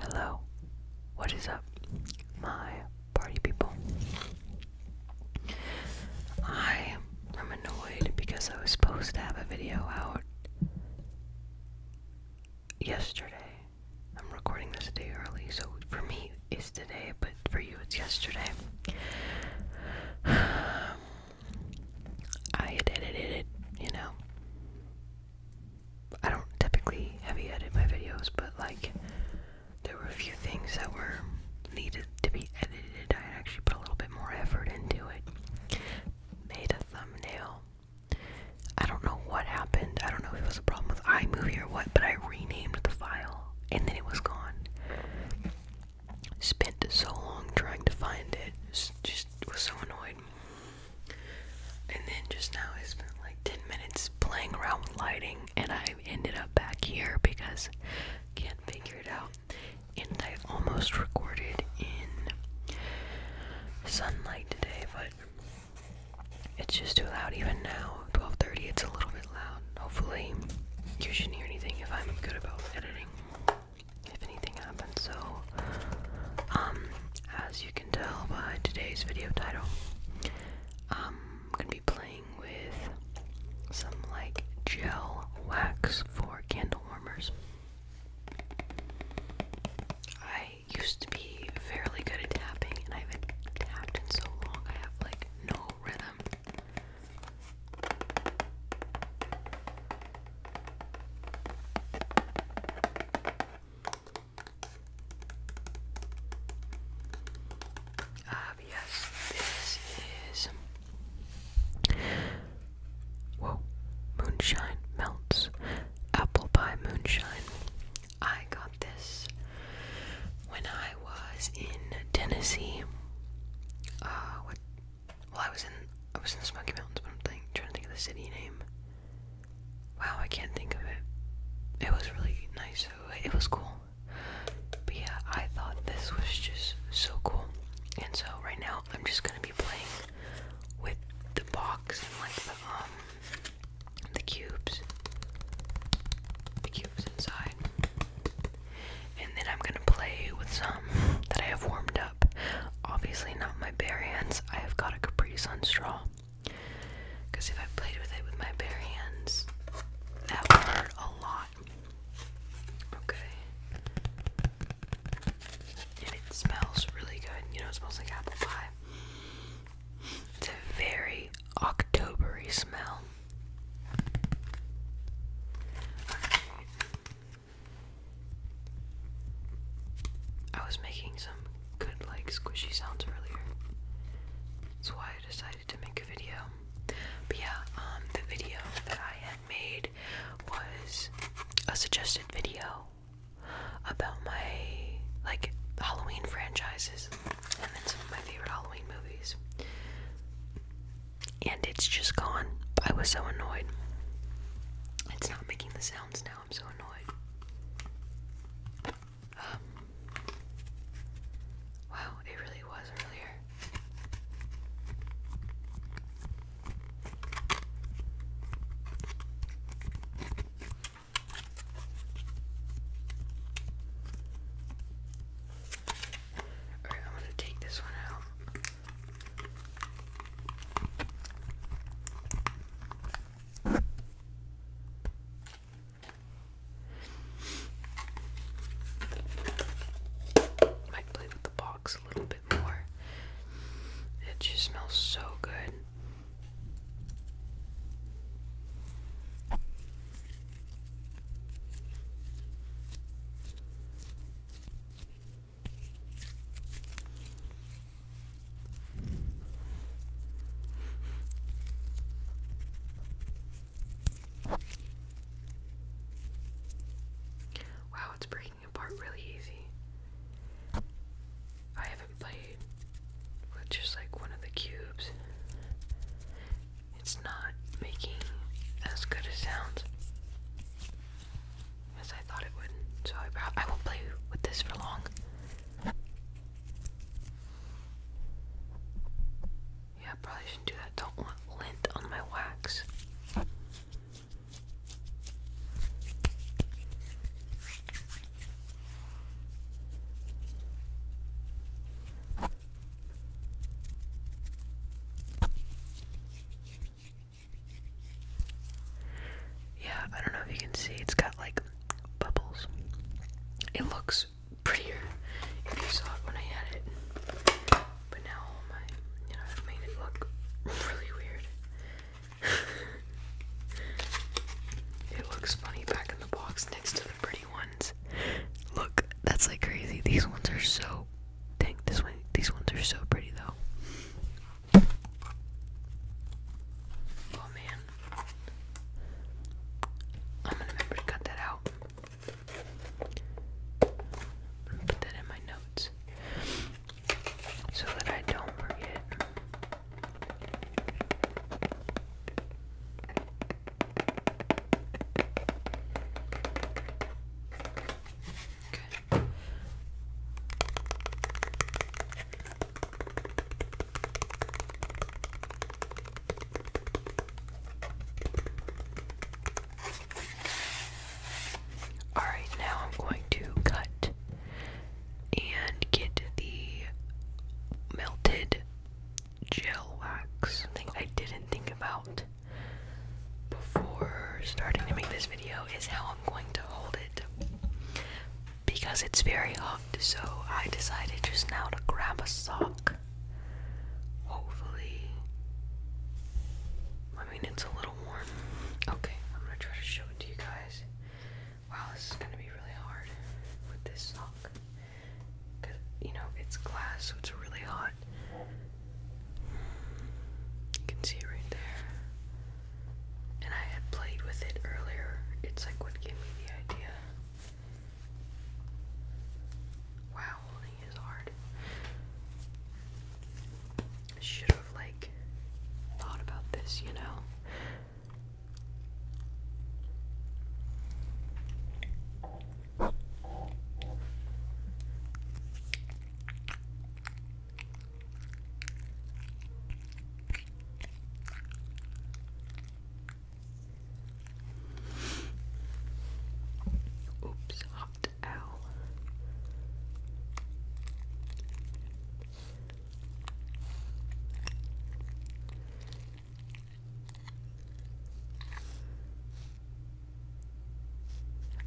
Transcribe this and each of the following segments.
Hello, what is up, my party people? I am annoyed because I was supposed to have a video out yesterday. I'm recording this a day early, so for me it's today, but for you it's yesterday. I had edited it, you know. I don't typically heavy edit my videos, but like there were a few things that were needed to be edited. I actually put a little bit more effort into it. Made a thumbnail. I don't know what happened. I don't know if it was a problem with iMovie or what, but I renamed the file and then it was gone. Spent so long trying to find it. Just, just was so annoyed. And then just now I spent like 10 minutes playing around with lighting and I ended up back here because can't figure it out. And I almost recorded in sunlight today, but it's just too loud even now. 12:30 it's a little bit loud. Hopefully you shouldn't hear anything if I'm good about editing. If anything happens, so um, as you can tell by today's video title, I'm gonna be playing with some like gel wax for candle warmers. I used to be fairly good at tapping, and I haven't tapped in so long, I have like no rhythm. Ah, yes, this is. Whoa, moonshine melts. Apple pie moonshine. I got this when I was in Tennessee. Uh, what? Well, I was in I was in the Smoky Mountains, but I'm think, trying to think of the city name. Wow, I can't think of it. It was really nice. It was cool. But yeah, I thought this was just so cool. And so right now, I'm just gonna be playing with the box and like the um the cubes, the cubes inside. And then I'm gonna play with some that I have warmed up. Obviously not my bare hands. I have got a Capri on straw. Because if I played with it with my bare hands, that would hurt a lot. Okay. And it smells really good. You know, it smells like apple pie. It's a very Octobery smell. I was making some good, like, squishy sounds earlier. That's why I decided to make a video. But yeah, um, the video that I had made was a suggested video about my, like, Halloween franchises and then some of my favorite Halloween movies. And it's just gone. I was so annoyed. It's not not making the sounds now. I'm so annoyed. Um, wow, it really was earlier. Alright, I'm gonna take this one out. Might play with the box a little bit more. It just smells so good. Wow, it's breaking apart really easy. I haven't played with just like one of the cubes. It's not making as good a sound as I thought it would. So I, won't play with this for long. Yeah, probably shouldn't do that. Don't want lint on my wax. Yeah, I don't know if you can see, it's got like bubbles. It looks prettier if you saw it when I had it. But now all my you know, I've made it look really weird. it looks funny back in the box next to the pretty ones. Look, that's like crazy. These ones are so Dang, this one, these ones are so pretty though. Oh man. I'm gonna remember to cut that out. Put that in my notes. So that I don't forget. Okay. All right, now I'm going to cut and get the melted gel wax, I didn't think about before starting to make this video is how I'm going to hold it because it's very hot. So I decided just now to grab a sock. Hopefully, I mean, it's a little warm. Okay, I'm gonna try to show it to you guys. Wow, this is gonna be really hard with this sock because you know it's glass, so it's really hot. You can see it right there. And I had played with it earlier. It's like what gave me the idea. Wow, holding is hard. should have like thought about this, you know. Oops, hot owl.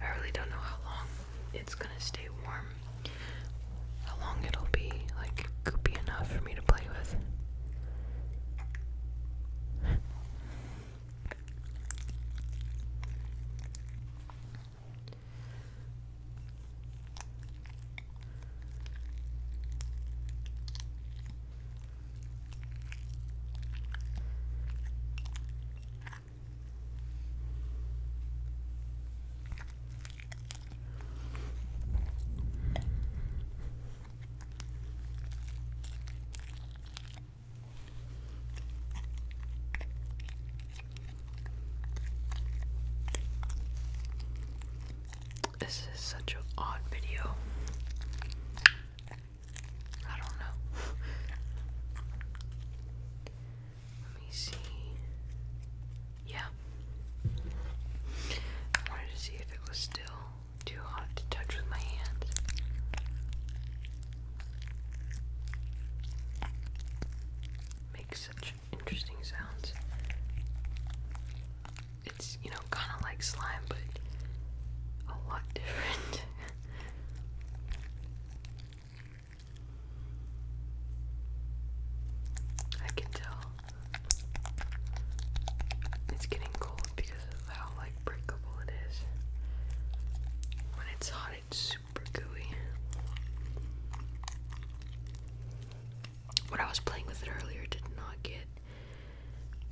I really don't know how long it's gonna stay warm. How long it'll be like goopy enough for me to play with. This is such an odd video. I don't know. Let me see. Yeah. wanted to see if it was still too hot to touch with my hands. Makes such interesting sounds. It's it's, you know, kind of like slime, but a lot different. I can tell it's getting cold because of how like breakable it is. When it's hot, it's super gooey. When I was playing with it earlier, did not get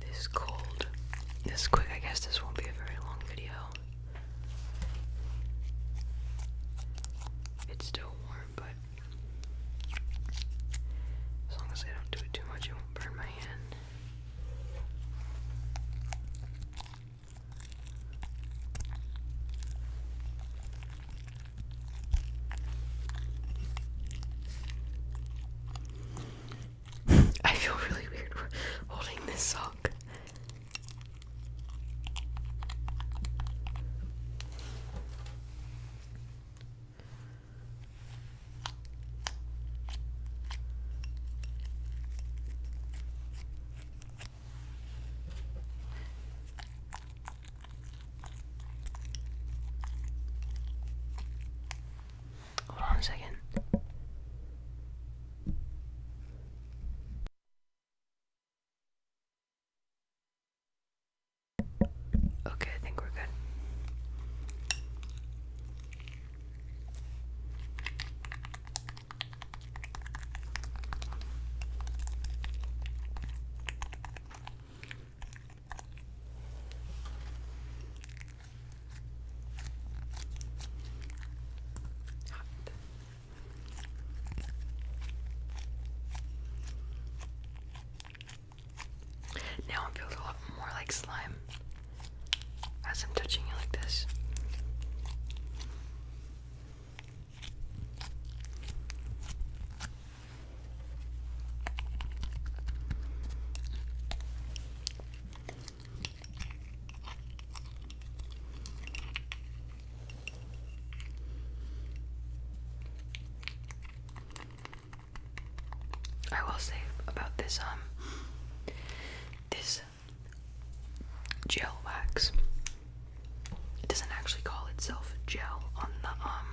this cold this quick. I guess this won't be a very long video. It's still warm, but as long as I don't do it too much, it won't burn my hand. I feel really weird holding this sock. Hold on a second. Okay, I think we're good. Now it feels a lot more like slime as I'm touching it like this. I will say about this um this gel wax. It doesn't actually call itself gel on the um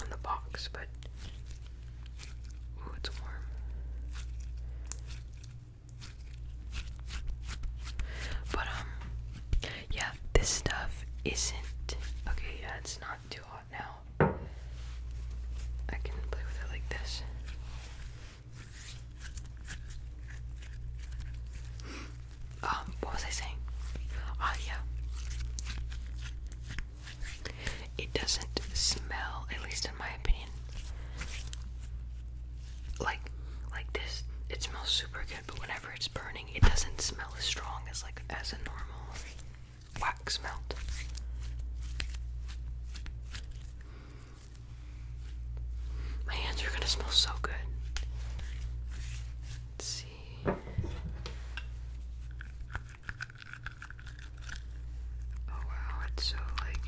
on the box, but ooh, it's warm. But um, yeah, this stuff isn't okay. Yeah, it's not too hot now. I can play with it like this. Um, what was I saying? Ah, yeah. It doesn't smell, at least in my opinion, like like this. It smells super good, but whenever it's burning, it doesn't smell as strong as like as a normal wax melt. My hands are gonna smell so good. Let's see. Oh wow, it's so like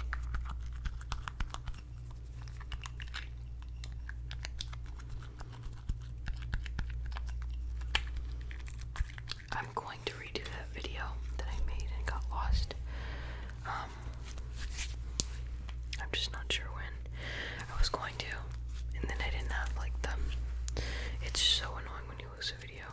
I'm going to redo that video that I made and got lost. Um, I'm just not sure when. I was going to, and then I didn't have like them. It's so annoying when you lose a video.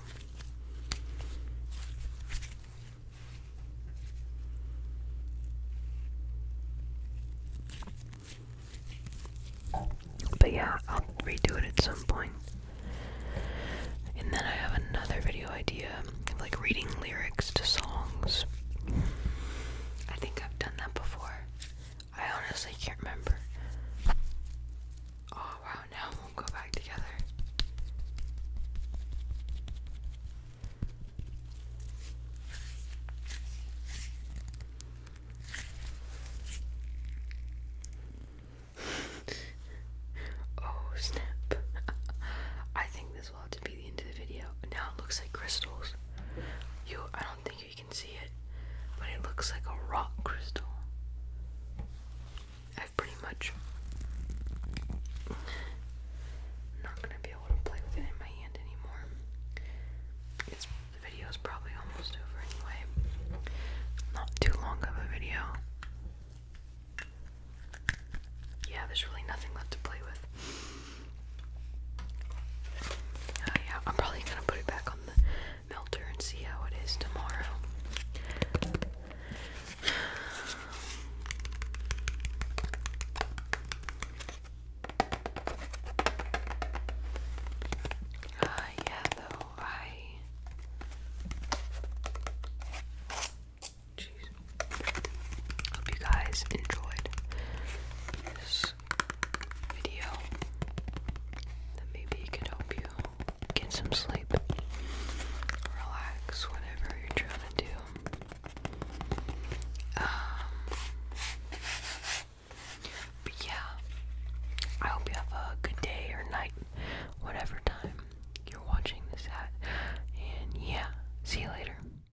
But yeah, I'll redo it at some point. And then I have another video idea of like reading lyrics to songs. I think I've done that before. I honestly can't remember. Oh wow, now it will go back together. oh snap. I think this will have to be the end of the video. Now it looks like crystals. You don't think you can see it, but it looks like a rock crystal. I've pretty much not gonna be able to play with it in my hand anymore. the video is probably almost over anyway. Not too long of a video. Yeah, there's really nothing left to play with. Uh, yeah, I'm probably gonna put it back on the melter and see how it is tomorrow. Uh, yeah, though, I. Hope you guys enjoyed this video that maybe it could help you get some sleep, relax, whatever you're trying to do. Um, but yeah, I hope you have a good day or night, whatever time you're watching this at. And yeah, see you later.